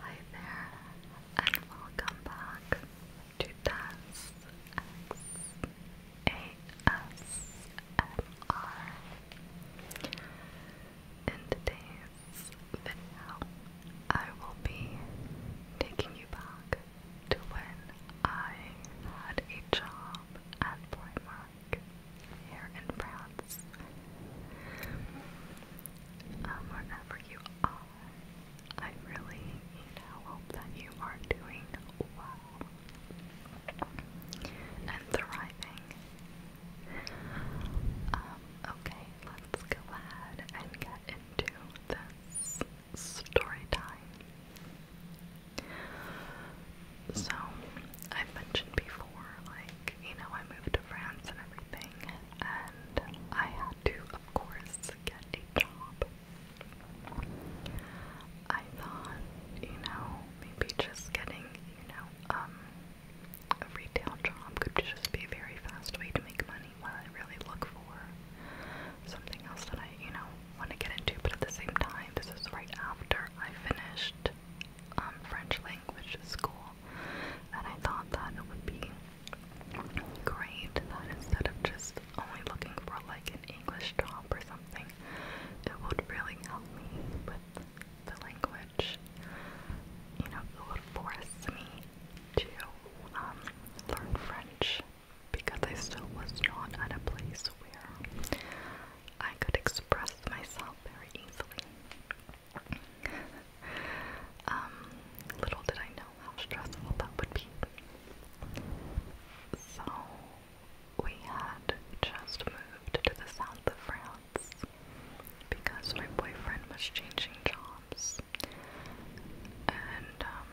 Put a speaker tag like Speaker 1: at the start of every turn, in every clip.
Speaker 1: Hi there, and welcome back to Tess ASMR. In today's video, I will be taking you back to when I had a job at Primark here in France paths. Um, you are, I really, you know, hope that you are doing well and thriving. Um, okay, let's go ahead and get into this story time. So, I've mentioned before, like, you know, I moved to France and everything, and I had to, of course, get a job. I thought, you know, maybe just getting, you know, um, a retail job could just be very fast way to make money while I really look for something else that I, you know, want to get into. But at the same time, this is right after I finished um, French language school and I thought that it would be great that instead of just only looking for like an English job or something, it would really help me with the language. You know, it would force me to um, learn French because I still was not at a place where I could express myself very easily um, little did I know how stressful that would be. So, we had just moved to the south of France because my boyfriend was changing jobs. And um,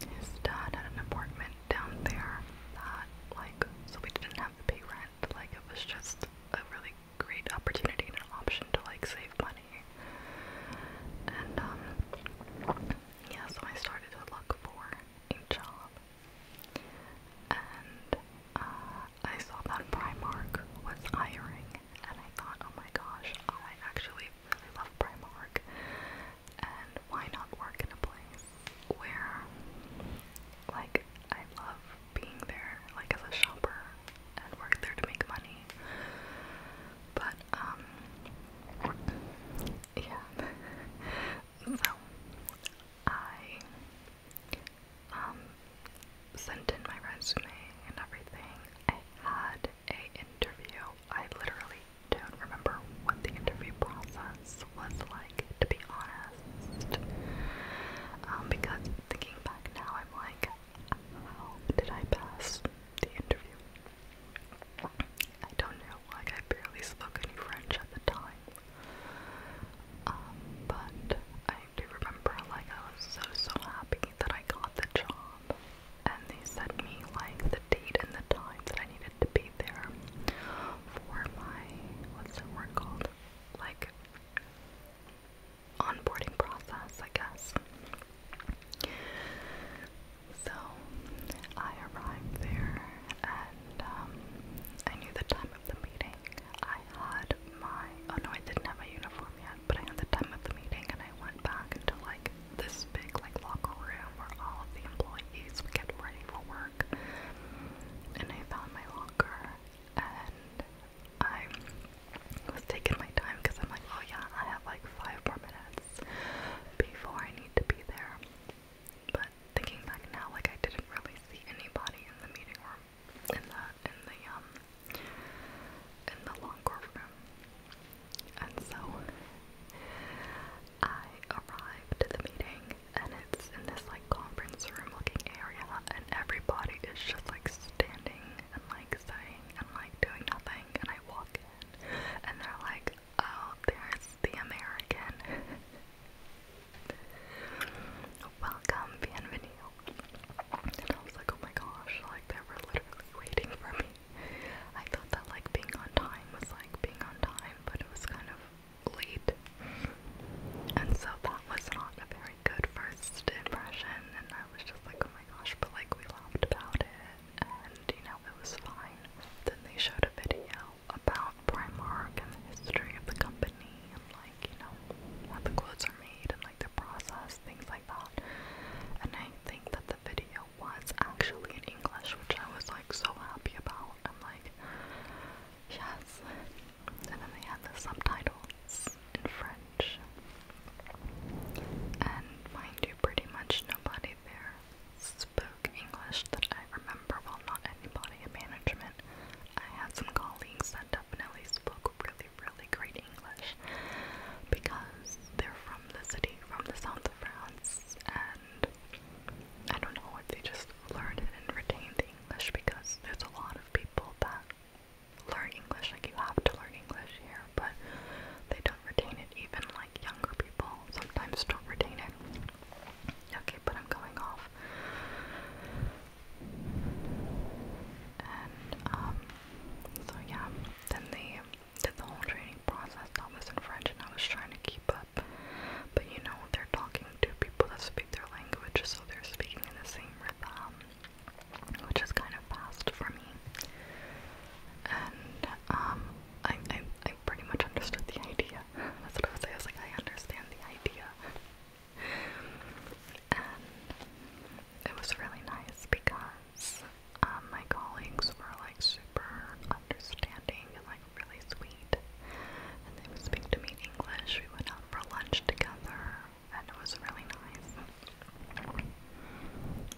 Speaker 1: his dad had an apartment down there that, like, so we didn't have to pay rent. Like, it was just a really great opportunity and an option to like save money. And um yeah, so I started to look for a job. And uh, I saw that Primark was hiring, and I thought, oh my gosh, I actually really love Primark, and why not work in a place where, like, I love being there like as a shopper and work there to make money. But um yeah. so I um sent in my resume and everything. I had a interview. I literally don't remember what the interview process was like to be honest. Um, because thinking back now, I'm like, how did I pass the interview? I don't know, like I barely spoke any French at the time. Um, but I do remember like I was so so happy that I got the job and they sent me like the date and the time that I needed to be there for my what's it word called? Like onboarding process, I guess. So I arrived there and um, I knew the time of the meeting. I had my, oh no, I didn't have my uniform yet, but I had the time of the meeting and I went back into like this big like locker room where all of the employees would get ready for work. And I found my locker and I was taking my time because I'm like, oh yeah, I have like five more minutes before I need to be there. But thinking back now, like I didn't really see anybody in the meeting room, in the in the um in the long room, and so I arrived at the meeting, and it's in this like conference room looking area and everybody is just like standing and like saying and like doing nothing and I walk in and they're like, oh, there's the American. Welcome, bienvenido. And I was like, oh my gosh, like they were literally waiting for me. I thought that like being on time was like being on time, but it was kind of late and so that was not a very good first impression, and I was just like, oh my gosh, but like we laughed about it, and you know, it was fine. Then they showed a video about Primark and the history of the company, and like, you know, how the clothes are made, and like the process, things like that. And I think that the video was actually in English, which I was like so happy about. I'm like, Yes. And then they had the subtitles in French. And mind you, pretty much nobody there spoke English that I remember. Well, not anybody in management. I had some colleagues that definitely spoke really, really great English because they're from the city, from the south of France, and I don't know what they just learned and retained the English because there's a lot of people people that learn English, like you have to learn English here, but they don't retain it, even like younger people sometimes don't retain it. Okay, but I'm going off. And, um, so yeah, then they did the whole training process that was in French and I was trying to keep up, but you know, what they're talking speaking to people that speak their language, so they're speaking in the same rhythm, which is kind of fast for me. And um, I, I, I pretty much understood the idea. That's what I was saying. I was like, I understand the idea. And it was really nice because um, my colleagues were like super understanding and like really sweet and they would speak to me in English. We went out for lunch together, and it was really nice.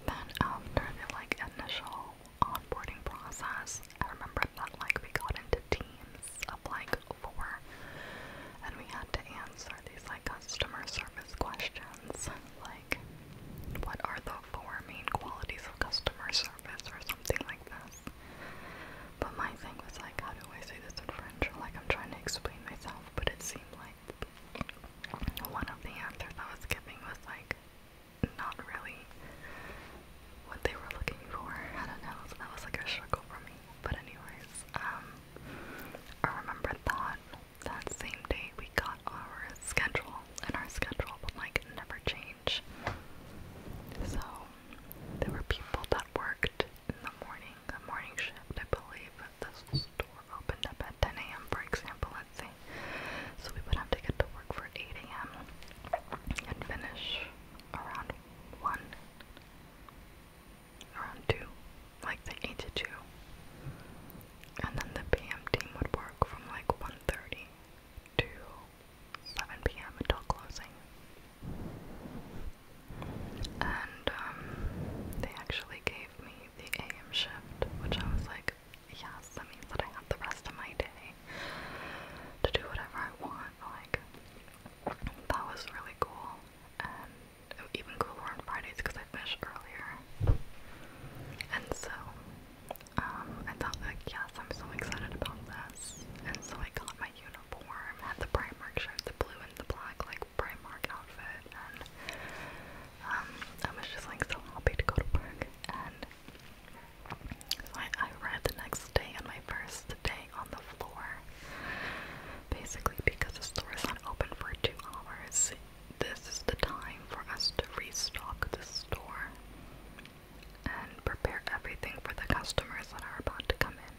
Speaker 1: Then after the like initial onboarding process, I remember that like we got into teams of like four, and we had to answer these like customer service questions, like what are the four main qualities of customer service or something like that. But my thing was like, how do I say this in French? like I'm trying to explain myself, but it seemed like one of the answers was giving was like not really what they were looking for. I don't know, that was like a struggle for me. But anyways, um I remember that that same day we got our schedule and our schedule like never change. So there were people that worked in the morning a morning shift, I believe. this store opened up at 10 a.m., for example, let's see. So we would have to get to work for 8 a.m. and finish around 1, around 2, like the 8 to 2. And then the p.m. team would work from like 1.30 to 7 p.m. until closing and um, they actually gave me the AM shift, which I was like, yes, that means that I have the rest of my day to do whatever I want. Like, that was really cool, and even cooler on Fridays because I finished earlier. And so, um, I thought, like, yes, I'm so excited about this. And so I got my uniform at the Primark showed the blue and the black like Primark outfit and um, I was just like so happy to go to work and I, I read the next day on my first day on the floor basically because the store is not open for two hours this is the time for us to restock the store and prepare everything for the customers that are about to come in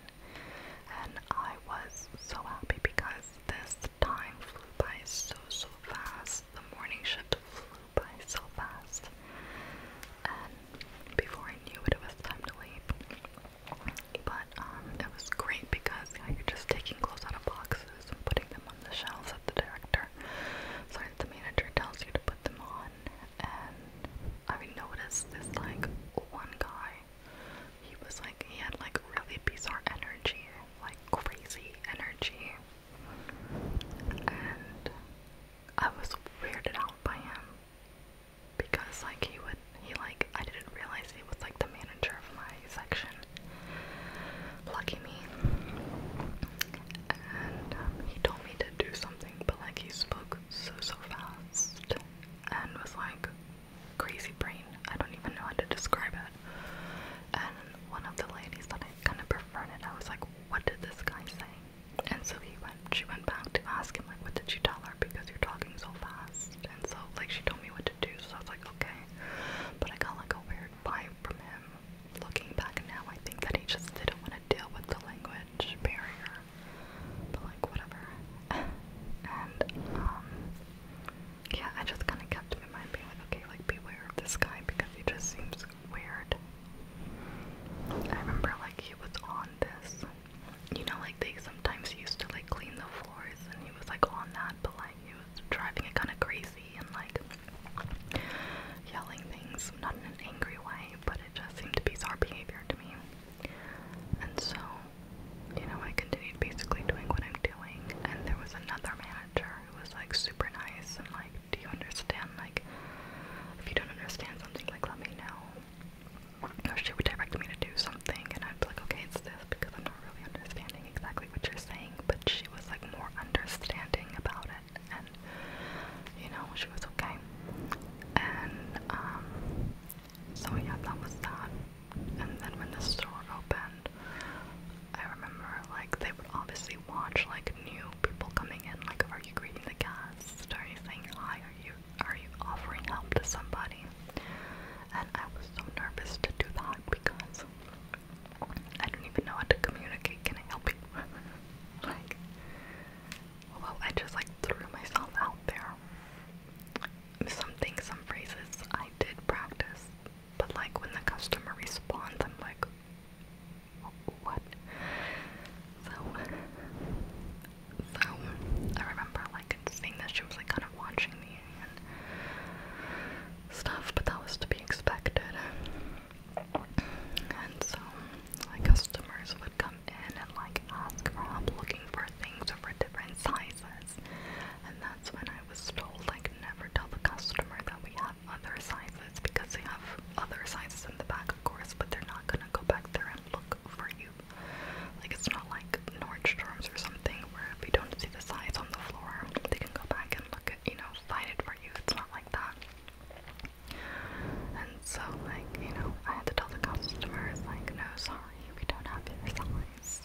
Speaker 1: and I was so happy because this time flew by so so fast. The morning shift flew by so fast, and before I knew it, it was time to leave. But um, it was great because you are just taking clothes out of boxes and putting them on the shelves at the director. So the manager tells you to put them on, and um, I noticed this like one guy. He was like he had like really bizarre energy, like crazy energy. And I was weirded out by him because like he would he like I didn't realize he was like the manager of my section. Lucky me. And um, he told me to do something, but like he spoke so so fast and was like crazy brain. I don't even know how to describe it. And one of the ladies that I kind of befriended, I was like, "What did this guy say?" And so he went. She went back to ask him like, "What did you tell her?" Because you're talking so fast. And so like she told me what to do. So I was like, "Okay," but I got like a weird vibe from him. Looking back now, I think that he just didn't want to deal with the language barrier, but like whatever. and um, yeah, I just kind of kept him in mind, being like, okay, like beware of this guy because he just seems weird. I remember like he was on this, you know, like they sometimes used to like clean the floors, and he was like on that, but like he was driving it kind of crazy and like yelling things, not in an angry way, but it just seemed to be bizarre behavior to me. And so, you know, I continued basically doing what I'm doing, and there was another manager who was like super nice and like, do you understand? Like, if you don't understand something, like, let me know. Or she would direct me to do something, and I'd be like, okay, it's this because I'm not really understanding exactly what you're saying. But she was like more understanding about it, and you know, she was okay. And um, so yeah, that was that. And then when the store opened, I remember like they would obviously watch like new people coming in, like are you greeting the guest? Are you saying hi? Are you are you offering help to somebody? And I was so nervous to do that because I don't even know how to communicate. Can I help you? like well, I just like threw myself out there. Some things, some phrases I did practice, but like when the customer responds, I'm like, what? So, so I remember like seeing that she was like kind of watching me and stuff, but that was to be expected. And so, my customers would come come in and like ask for help looking for things over different sizes. And that's when I was told like never tell the customer that we have other sizes because they have other sizes in the back of course, but they're not gonna go back there and look for you. Like it's not like Nordstrom's or something where if you don't see the size on the floor, they can go back and look at you know, find it for you. It's not like that. And so, like, you know, I had to tell the customers, like, no, sorry, we don't have your size.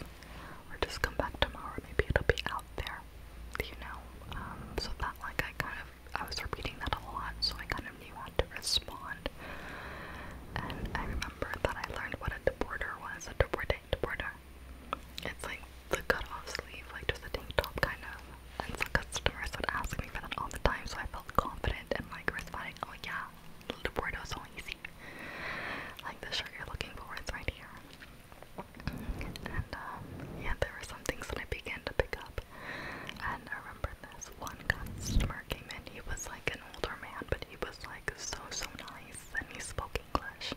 Speaker 1: Or just come back tomorrow, maybe it'll be out there, you know? Um, so that, like, I kind of, I was repeating that a lot, so I kind of knew how to respond. And I remember that I learned what a deborder was, a deborder, deborder. It's like the cut-off sleeve, like just a tank top, kind of. And some customers would ask me for that all the time, so I felt confident and like responding, oh yeah, the Bordeaux so easy. Like the shirt you're looking for, it's right here. And um, yeah, there were some things that I began to pick up. And I remember this one customer came in, he was like an older man, but he was like so, so nice and he spoke English.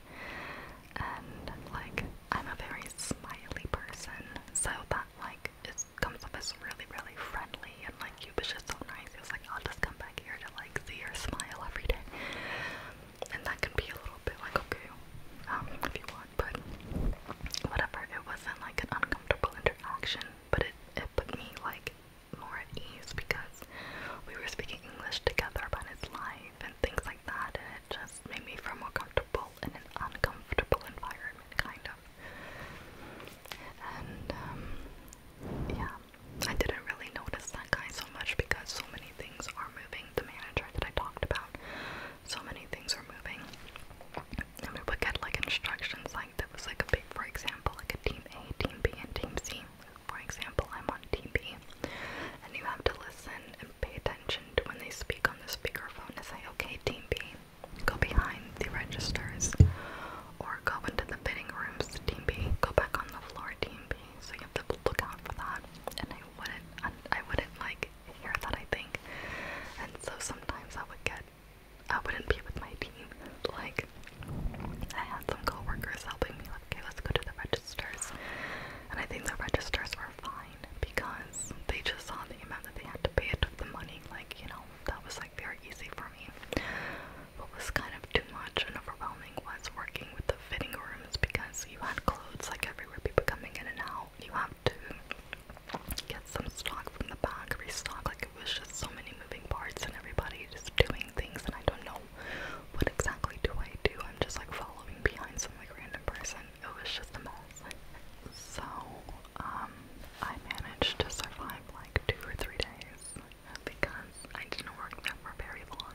Speaker 1: And like, I'm a very smiley person, so that like it's comes off as really, really friendly and like you was just so nice. He was like, I'll just come back here to like see your smile every day. And that could be a little bit like okay, um, if you want, but whatever. It wasn't like an uncomfortable interaction, but it it put me like more at ease because we were speaking English together about his life and things like that, and it just made me feel more comfortable in an uncomfortable environment, kind of and um, yeah, I didn't really notice that guy so much because so many things are moving. The manager that I talked about, so many things are moving, and we would get like instructions like that was like a big, for example, like a team A, team B, and team C. For example, I'm on team B, and you have to listen and pay attention to when they speak on the speakerphone to say, okay, team B. Go behind the registers or go into the bidding rooms, Team B. Go back on the floor, Team B. So you have to look out for that. And I wouldn't, I wouldn't like hear that. I think. And so sometimes I would get, I wouldn't be with my team. Like I had some coworkers helping me. Like, okay, let's go to the registers. And I think the registers were fine because they just saw the amount that they had to pay. It took the money, like you know, that was like very easy for me. What was kind of too much and overwhelming was working with the fitting rooms because you had clothes like everywhere, people coming in and out. You have to get some stock from the back, restock. Like it was just so many moving parts and everybody just doing things, and I don't know what exactly do I do. I'm just like following behind some like random person. It was just a mess. So um, I managed to survive like two or three days because I didn't work there for very long.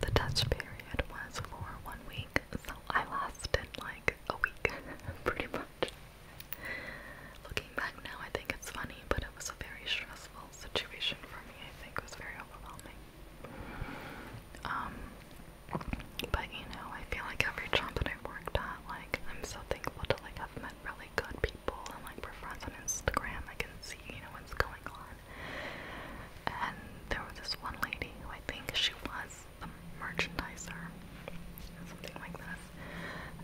Speaker 1: The test period was for one week, so I lasted like a week, pretty much. Looking back now, I think it's funny, but it was a very stressful situation for me. I think it was very overwhelming. Um, but you know, I feel like every job that I've worked at, like, like I'm so thankful to like have met really good people and like we're friends on Instagram. I can see, you know, what's going on. And there was this one lady who I think she was a merchandiser or something like this.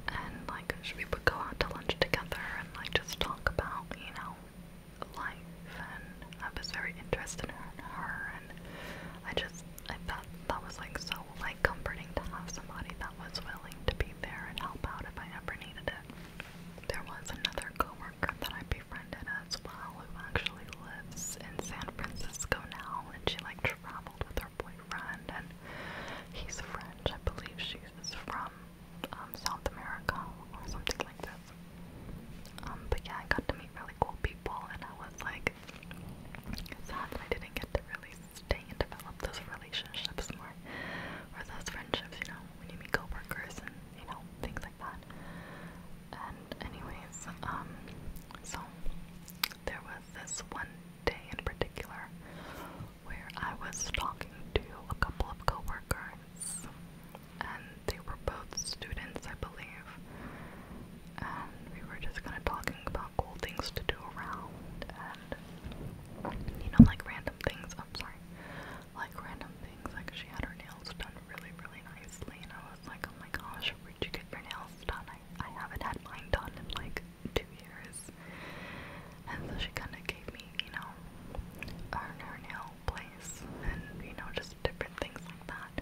Speaker 1: And like we would go out to lunch together and like just talk about, you know, life and I was very interested in her and I just I thought that was like so like comforting to have somebody that was willing to be there and help out if I ever needed it. There was another coworker that I befriended as well who actually lives in San Francisco now and she like traveled with her boyfriend and he's French. I believe she's from um, South America or something like this. Um, but yeah, I got to meet really cool people and I was like sad I didn't get to really stay and develop those relationships more, or those friendships, you know, when you meet coworkers and you know things like that. And anyways, um, so there was this one day in particular where I was talking to a couple of coworkers, and they were both students, I believe, and we were just kind of talking about about cool things to do around and you know like random things I'm sorry like random things like she had her nails done really really nicely and I was like oh my gosh where'd you get your nails done I, I haven't had mine done in like two years and so she kind of gave me you know her, her nail place and you know just different things like that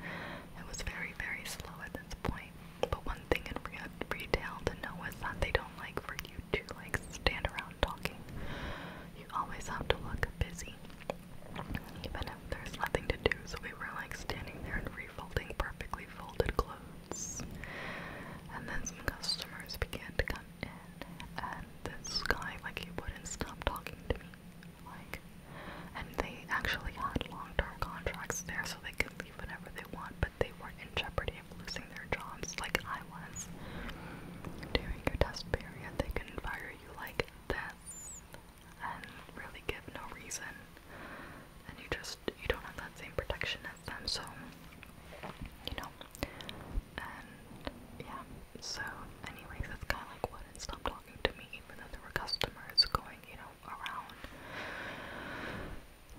Speaker 1: it was very very slow at this point point. But one thing in re retail to know is that they don't like for you to like stand around talking. You always have to look busy, even if there's nothing to do. So we were like standing there and refolding perfectly folded clothes. And then some customers began to come in, and this guy like he wouldn't stop talking to me, like. And they actually had long-term contracts there, so they could leave whenever they want, but they weren't in jeopardy of losing their jobs like I was. During your test period, they can fire you like this and really give no reason. And you just, you don't have that same protection as them, so, you know. And yeah, so, anyways, this guy like wouldn't stop talking to me even though there were customers going, you know, around.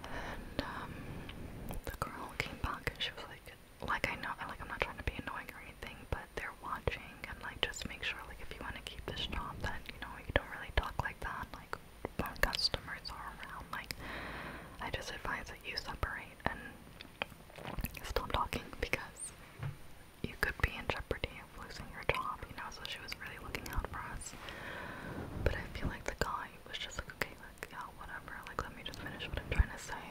Speaker 1: And um, the girl came back and she was like, like I know, like I'm not trying to be annoying or anything, but they're watching and like just make sure like if you want to keep this job that you know you don't really talk like that like when customers are around. Like I just advise that you separate and stop talking because you could be in jeopardy of losing your job. You know, so she was really looking out for us class. But I feel like the guy was just like, okay, like, yeah, whatever, like, let me just finish what I'm trying to say.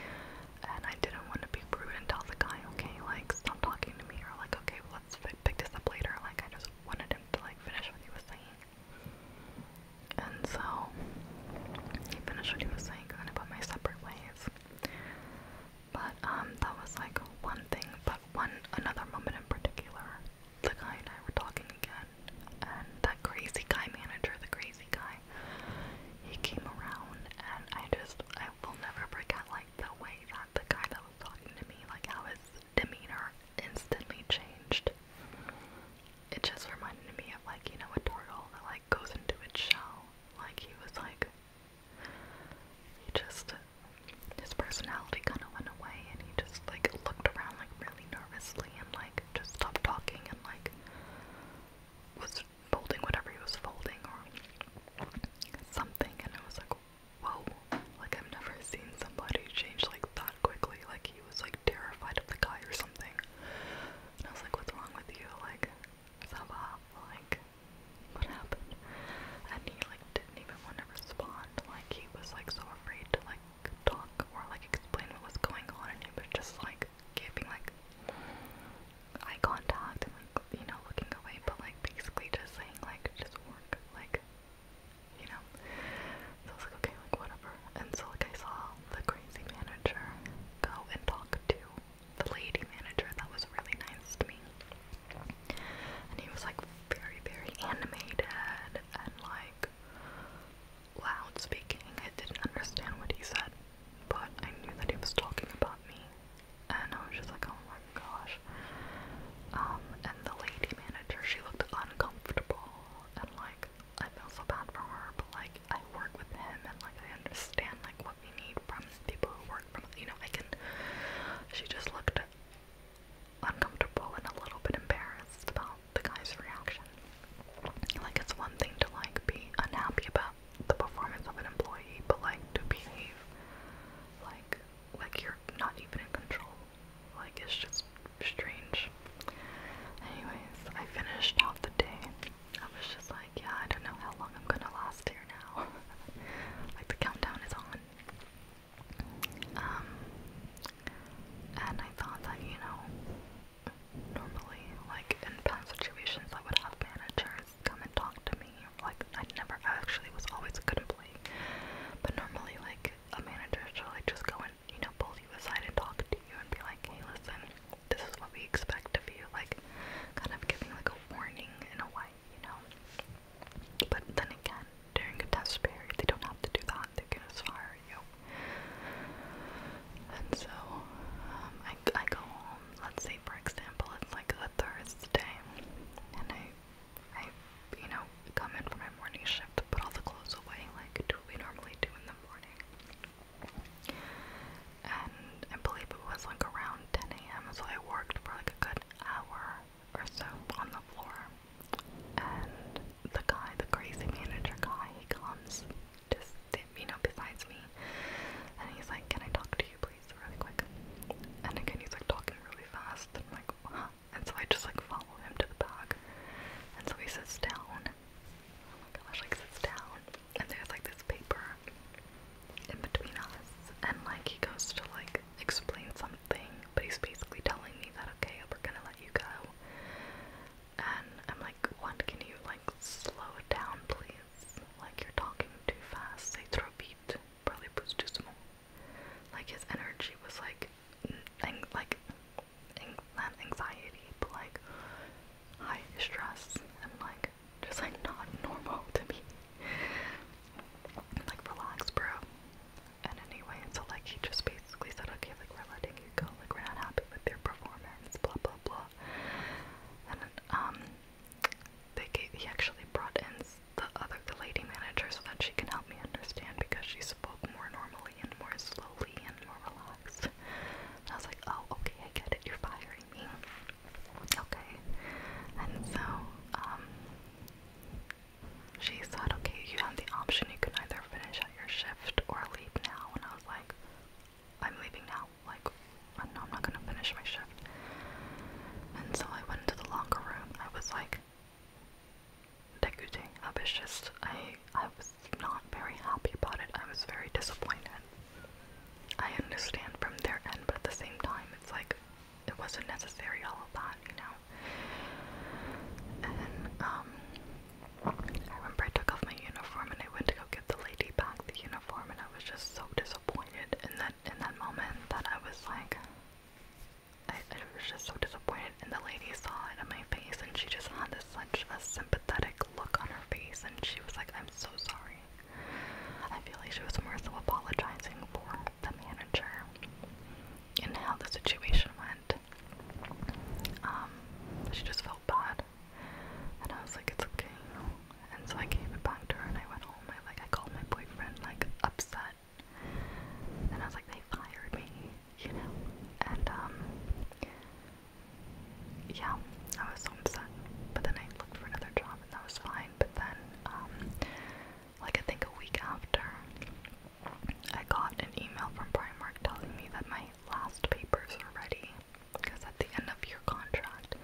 Speaker 1: And I didn't want to be rude and tell the guy, okay, like, stop talking to me, or like, okay, let's pick this up later. Like, I just wanted him to, like, finish what he was saying. And so, he finished what he was saying, and then I put my separate ways. But, um, that was like one thing, but one, another moment in particular the guy and I were talking again, and that crazy guy manager, the crazy guy, he came around, and I just, I will never forget, like, the way that the guy that was talking to me, like, how his demeanor instantly changed. It just reminded me of, like, you know, a turtle that, like, goes into its shell. Like, he was like, he just his personality kind of went away and he just like looked around like really nervously and like just stopped talking and like was folding whatever he was folding or something and I was like whoa like I've never seen somebody change like that quickly like he was like terrified of the guy or something and I was like what's wrong with you like Saba like what happened and he like didn't even want to respond. Like he was like so afraid to like talk or like explain what was going on, and he was just like giving like eye contact and like you know looking away, but like basically just saying like just work, like you know. So I was like okay, like whatever. And so like I saw the crazy manager go and talk to the lady manager that was really nice to me and he was like very, very animated and like loud speaking. I didn't understand what he said, but I knew that he was talking about me, and I was just like, oh my gosh. Um, and the lady manager, she looked uncomfortable, and like, I feel so bad for her, but like, I work with him, and like, I understand like what we need from people who work from, you know, I can. She just looked uncomfortable and a little bit embarrassed about the guy's reaction. Like, it's one thing to, like, be unhappy about the performance of an employee, but, like, to behave like, like you're not even in control. Like, it's just strange. Anyways, I finished out the day. I was just like, yeah, I don't know how long I'm gonna last here now. like, the countdown is on. Um, and I thought that, you know, normally, like in past situations, I would have managers come and talk to me. Like, I never actually was always a good employee. But normally, like, a manager should, like, just go and, you know, pull you aside and talk to you and be like, hey, listen, this is what we expect of you. Like, kind of giving, like, a warning in a way why, you know? But then again, during a test period, they don't have to do that, they can just fire you. And so, um, I, I go home, let's say for example, it's like a Thursday, and I, I, you know, come in for my morning shift, put all the clothes away like do we normally do in the morning. And I believe it was like around 10 a.m., so I worked for like a good hour, or so on the floor. And the guy, the crazy manager guy, he comes to sit, you know, besides me. And he's like, Can I talk to you, please, really quick? And again, he's like talking really fast. And I'm like, What? And so I just like follow him to the back. And so he sits down. Oh my gosh, like sits down. And there's like this paper in between us. And like he goes to like explain something something, but he's basically telling me that okay, we're gonna let you go. And I'm like, what can you like slow it down please? Like you're talking too fast. They throw beat, probably boost too Like his energy was like ang like anxiety, but like high stress and like just like not normal to me. Like, relax, bro. And anyway, so like he just basically said, okay, like we're letting you go, like we're not happy with your performance, blah blah blah. And um, they he actually brought in the other the lady manager so that she can help me understand because she spoke more normally and more slowly and more relaxed. And I was like, oh, okay, I get it. You're firing me, okay? And so um, she said, okay, you have the option. You can either finish out your shift or leave now. And I was like, I'm leaving now. Like, no, I'm not going to finish my shift. And so I went into the locker room. I was like, deguting I was just, I, I was not very happy about it. I was very disappointed. I understand from their end, but at the same time, it's like, it wasn't necessary all of upon, you know. And um I remember I took off my uniform and I went to go get the lady back the uniform and I was just so disappointed And then in that moment that I was like I, I was just so disappointed and the lady saw it on my face and she just had this, such a sympathetic look on her face and she was like, I'm so sorry. I feel like she was more so apologizing for the manager and how the situation went. Um, she just felt bad, and I was like, it's okay, And so I gave it back to her, and I went home. I like, I called my boyfriend, like upset, and I was like, they fired me, you know. And um, yeah, I was so upset. But then I looked for another job, and that was fine. But then um, like I think a week after, I got an email from Primark telling me that my last papers are ready. Because at the end of your contract,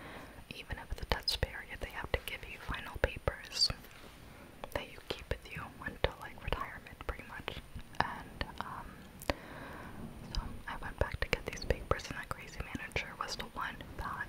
Speaker 1: even if it's a test period, they have to give you final papers that you keep with you until like retirement, pretty much. And um, so I went back to get these papers, and that crazy manager was the one that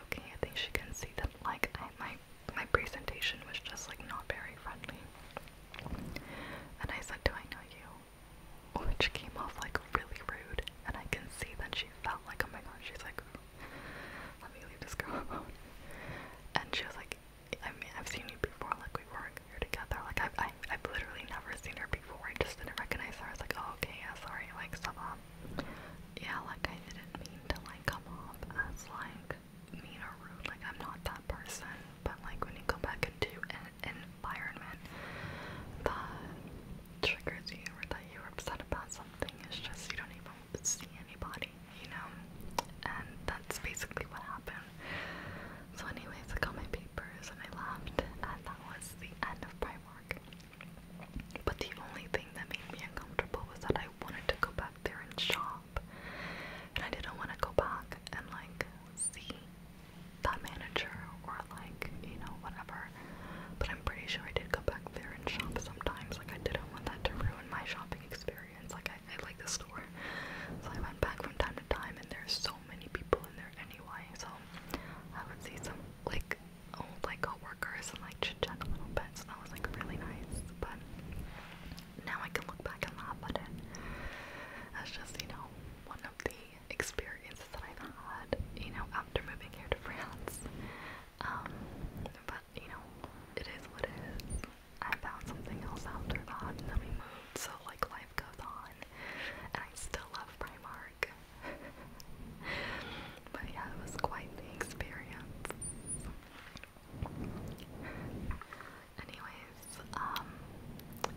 Speaker 1: okay. I think she can see that like my my presentation was just like not very friendly. And I said, "Do I know you?" Which came off like really rude. And I can see that she felt like, "Oh my god," she's like, "Let me leave this girl alone." And she was like, "I mean, I've seen you before. Like we work here together. Like I've I, have i have literally never seen her before. I just didn't recognize her. I was like, oh okay, yeah, sorry. Like, stop." off. Yeah, like I didn't mean to like come off as like mean or rude. Like I'm not that person. But like when you go back into an environment that triggers you or that you're upset about something, it's just you don't even see anybody, you know? And that's basically what happened. So anyways, I got my papers and I left and that was the end of my work. But the only thing that made me uncomfortable was that I wanted to go back there and shop. And I didn't want to go back and like see that manager or like, you know, whatever. But I'm pretty sure I did go back there and shop sometimes. Like I didn't want that to ruin my shopping experience. Like I, I like the store. So I went back from time to time and there's so many people in there anyway. So I would see some like old like coworkers and like chit chat a little bit, so that was like really nice. But now I can look back and laugh at it. That's just you know one of the experiences that I've had, you know, after moving here to France. Um, but you know, it is what it is. I found something else after that, and then we moved, so like life goes on. And I still love Primark but yeah, it was quite the experience. Anyways, um,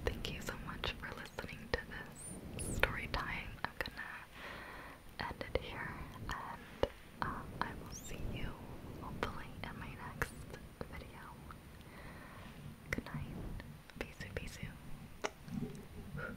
Speaker 1: thank you so much for listening to this story time. I'm gonna end it here, and um, I will see you hopefully in my next video. Good night. Bisous, bisous.